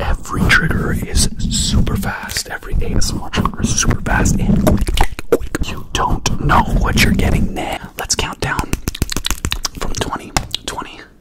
Every trigger is super fast. Every ASMR trigger is super fast and quick, You don't know what you're getting there. Let's count down from 20, 20.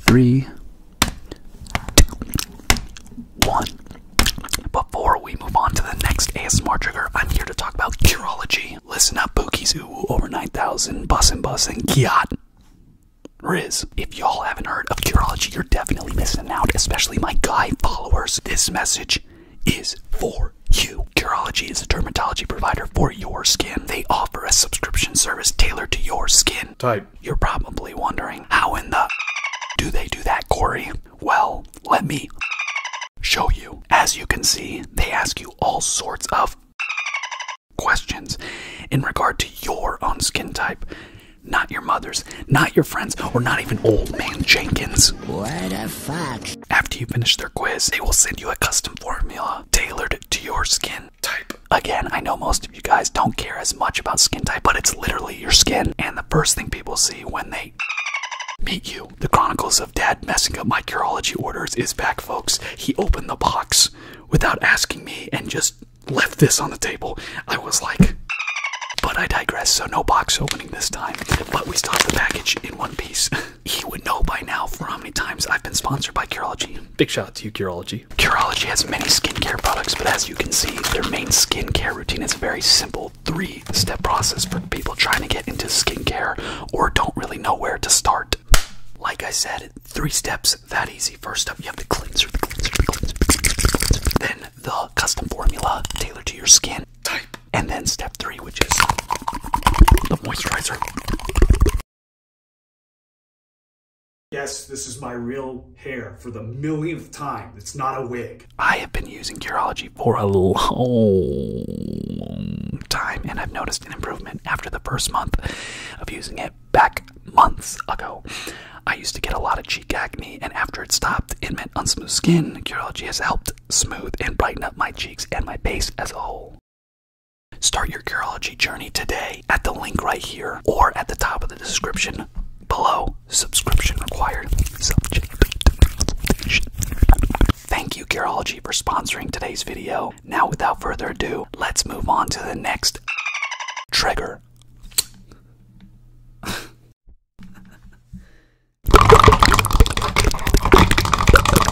three, two, one. Before we move on to the next ASMR trigger, I'm here to talk about urology. Listen up, Bookies Ooh, over 9,000, and Bussin' and Kiat. Riz. If y'all haven't heard of Curology, you're definitely missing out, especially my guy followers. This message is for you. Curology is a dermatology provider for your skin. They offer a subscription service tailored to your skin Type. You're probably wondering how in the do they do that, Corey? Well, let me show you. As you can see, they ask you all sorts of questions in regard to your own skin type. Not your mother's, not your friend's, or not even old man Jenkins. What a fuck. After you finish their quiz, they will send you a custom formula tailored to your skin. Again, I know most of you guys don't care as much about skin type, but it's literally your skin. And the first thing people see when they meet you, the Chronicles of Dad messing up my Curology orders is back, folks. He opened the box without asking me and just left this on the table. I was like, but I digress, so no box opening this time. But we still have the package in one piece. he would know by now for how many times I've been sponsored by Curology. Big shout out to you, Curology. Curology has many skincare products, but as you can see, their main skincare routine is a very simple three step process for people trying to get into skincare or don't really know where to start. Like I said, three steps that easy. First up, you have the cleanser, the cleanser, the cleanser, the cleanser. then the custom formula tailored to your skin type, and then step three, which is the moisturizer. Yes, this is my real hair for the millionth time. It's not a wig. I have been using Curology for a long time, and I've noticed an improvement after the first month of using it back months ago. I used to get a lot of cheek acne, and after it stopped, it meant unsmooth skin. Curology has helped smooth and brighten up my cheeks and my face as a whole. Start your Curology journey today at the link right here or at the top of the description below. Subscription required. Thank you, Curology, for sponsoring today's video. Now, without further ado, let's move on to the next trigger.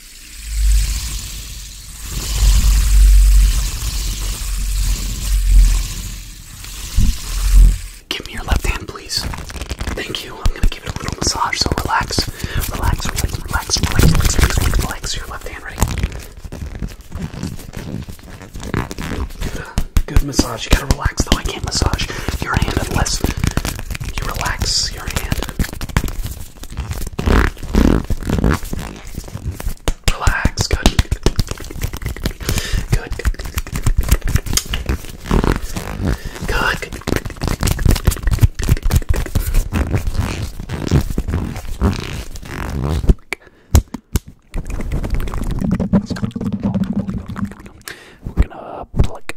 Give me your left hand, please. Thank you. I'm gonna give it a little massage, so relax. Relax, relax, relax, relax, relax, relax, relax. Your left hand, ready? Good, uh, good massage. You gotta relax, though. I can't massage your hand unless you relax your hand. Relax, good. Good. Good. Good. We're gonna pluck,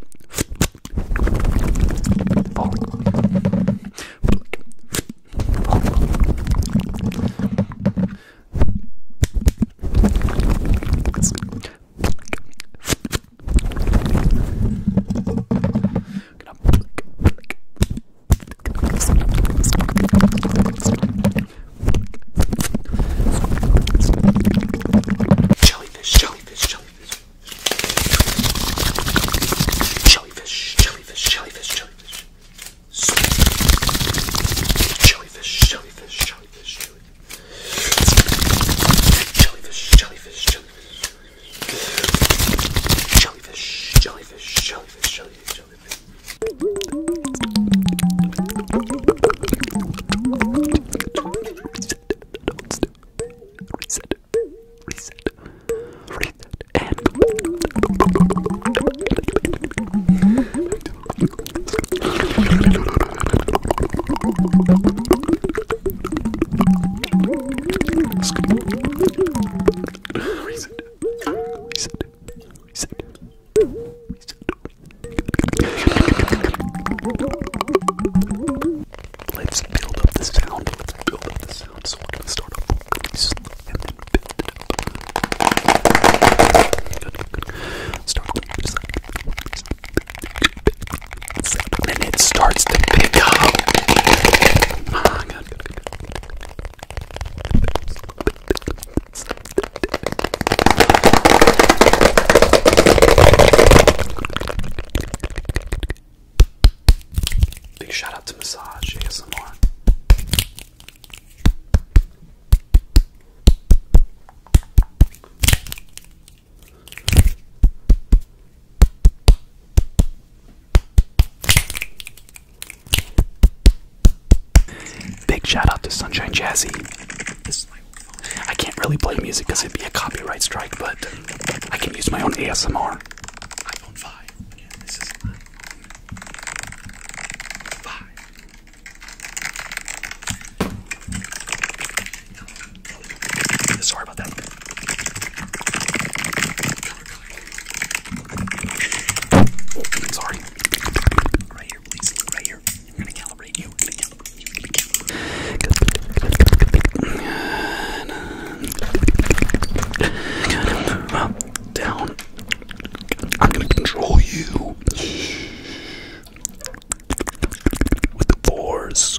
Jellyfish, jellyfish, jellyfish, Jellyfish, jellyfish, jellyfish, jellyfish. Sweet. Jellyfish, jellyfish, jellyfish, jellyfish. Jellyfish, jellyfish, jellyfish, jellyfish. Jellyfish, jellyfish, jellyfish, jellyfish, jellyfish. Reset reset, reset, reset, and reset, reset, reset, reset. Let's build up the sound. Let's build up the sound. So we're gonna start off really slow and then build it up. Good, good, good. Start just like and it starts to pick up. Ah, good, good, good. Good, Big shout out to Massage ASMR. Big shout out to Sunshine Jazzy. I can't really play music because it'd be a copyright strike, but I can use my own ASMR. Sorry about that. Sorry. Right here, Right here up, down. I'm gonna control you with the force.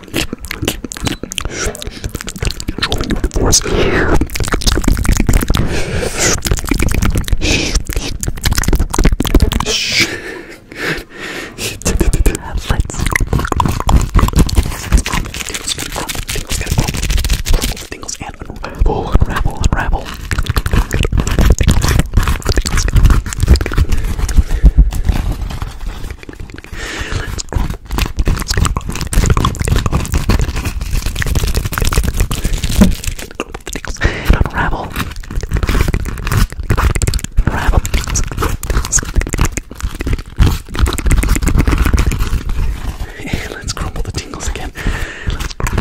Controlling your divorce. Let's tingles and unravel, unravel, unravel. Let's grump. Let's grump. Unravel. Unravel. And let's crumble the tingles again. Let's crumble.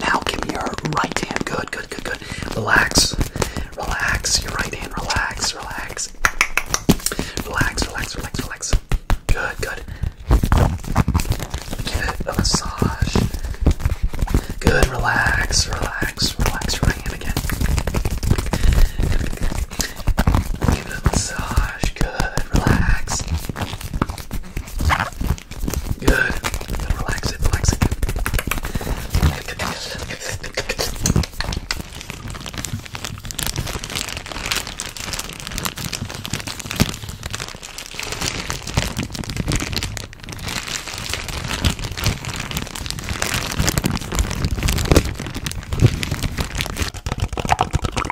Now give me your right hand. Good, good, good, good. Relax. Relax. Your right hand. Relax. Relax. Relax, relax, relax, relax. Good, good. Give it a massage. Good, relax, relax, relax your right hand again. Good, good, good. Give it a massage. Good. Relax. Good. Good. Relax it. Relax it.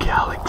Galax.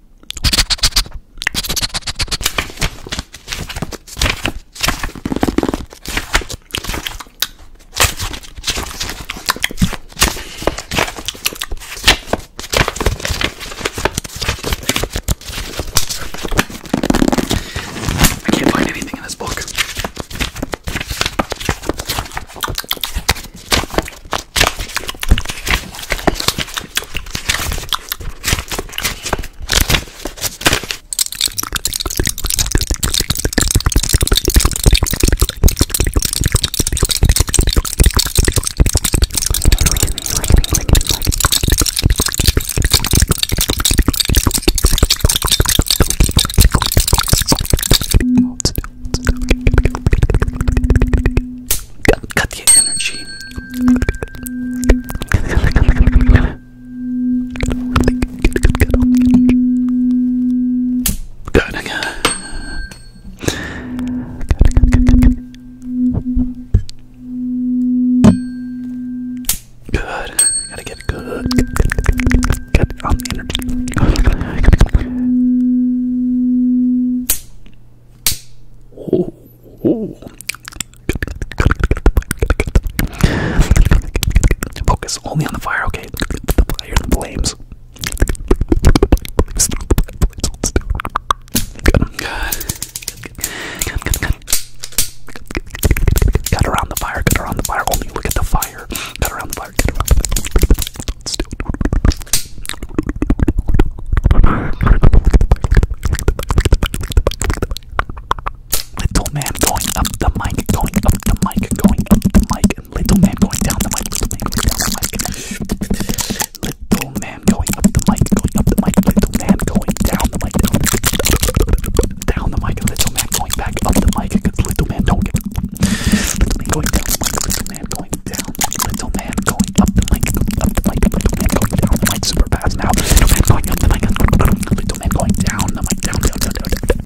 I can't find anything in this book. Got the energy Good again. Good, good, good, good. Good. Gotta get good. Good, good, good, good, good, good on the energy. Good, good, good, good. Oh. Ooh. Focus only on the fire, okay? The fire, the flames. Good. Good, good, good. Cut around the fire, cut around the fire. Only look at the fire. Cut around the fire, cut around the fire. Little man going up the mic, going up the mic, going up the mic, and little man going down the mic, little man going down the mic. Little man going up the mic, going up the mic, little man going down the mic, down the mic, down the mic, little man going back up the mic, because little man don't get little man going down the mic, little man going down, little man going up the mic, up the mic, little man going down the mic super fast now, little man going up the mic, little man going down the mic, down, down, down, down, down.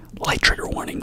Light trigger warning.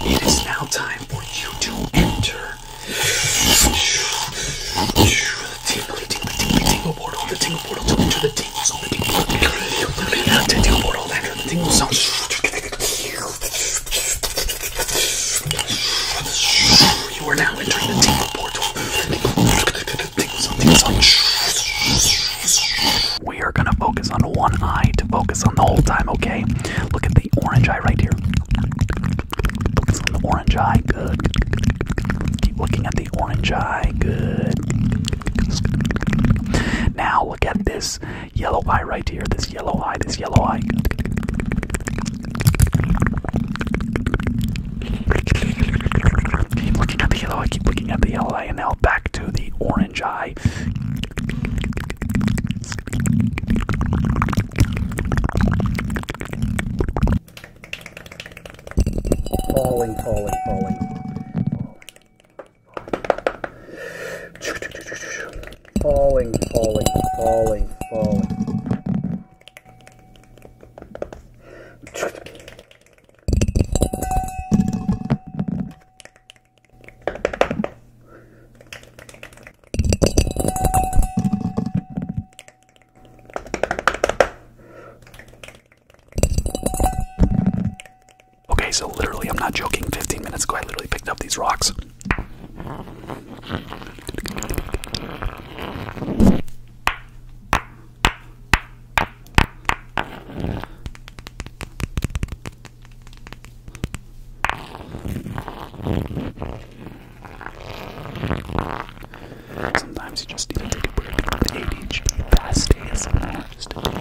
It is now time for you to enter the tingly, tingly, tingly, tingle portal, the tingle portal to enter the tingles on the people. Tingle portal lander, the tingle sound. You are now entering the tingle portal. We are gonna focus on one eye to focus on the whole time, okay? Look at the orange eye right here. Look at the orange eye, good. Keep looking at the orange eye, good. Now look at this yellow eye right here, this yellow eye, this yellow eye. Keep looking at the yellow eye, keep looking at the yellow eye, and now back to the orange eye. Falling, falling, falling. Falling, falling, falling, falling. Okay, so literally, I'm not joking, 15 minutes ago, I literally picked up these rocks. Sometimes you just need to take a break. Eight each fast days,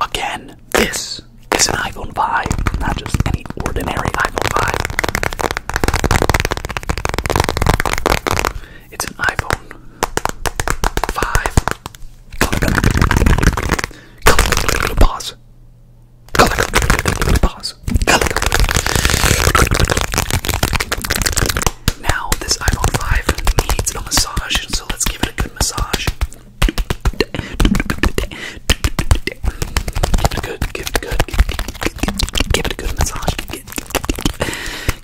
Again, this is an iPhone 5, not just any ordinary iPhone 5. It's an iPhone 5. pause. pause. Now this iPhone 5 needs a massage, so let's give it a good massage. Give it a good, give it a good, give it a good massage.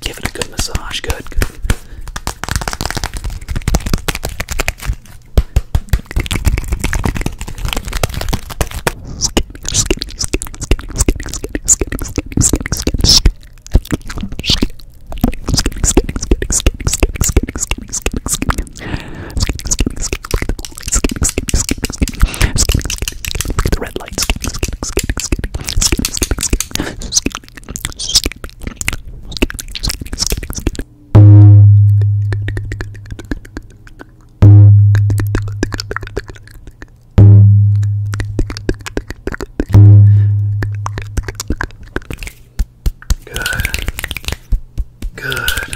Give it a good massage. Good, good. Look at the red lights. Good. Good.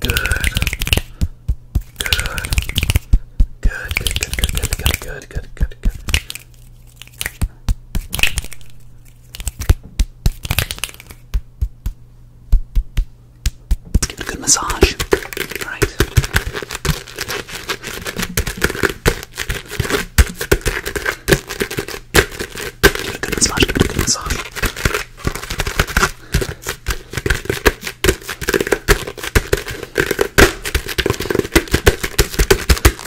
Good. Good. Good. Good. Good. Good. Good. Good. Good. Good. Let's give it a good massage. All right. Give it a good massage, give it a good massage.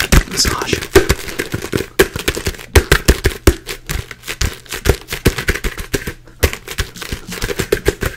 Good massage. Good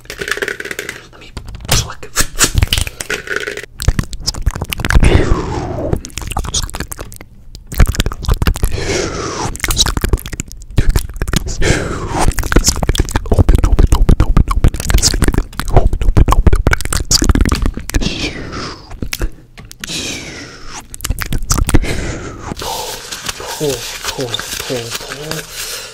Let me pluck. Open, open, open, open, open. Open, open, open, open. Pull, pull, pull, pull.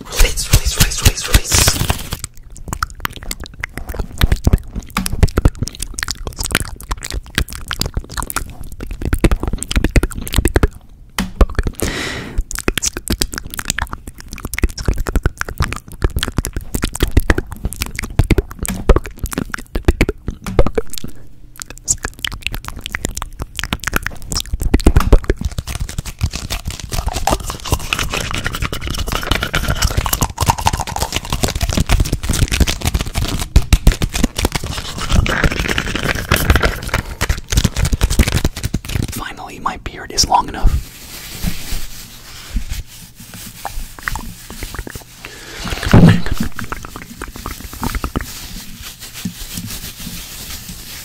Release, release, release, release, release. Finally, my beard is long enough.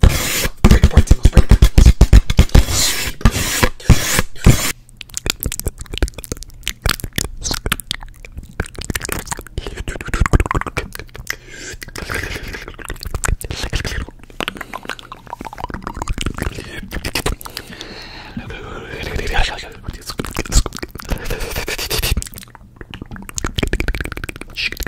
Break, break apart tingles, break apart tingles. Sweep.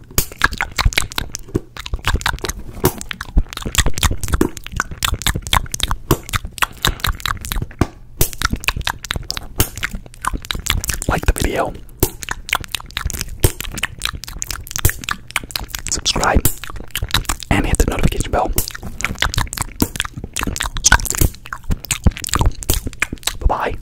Like the video, subscribe, and hit the notification bell. Bye bye.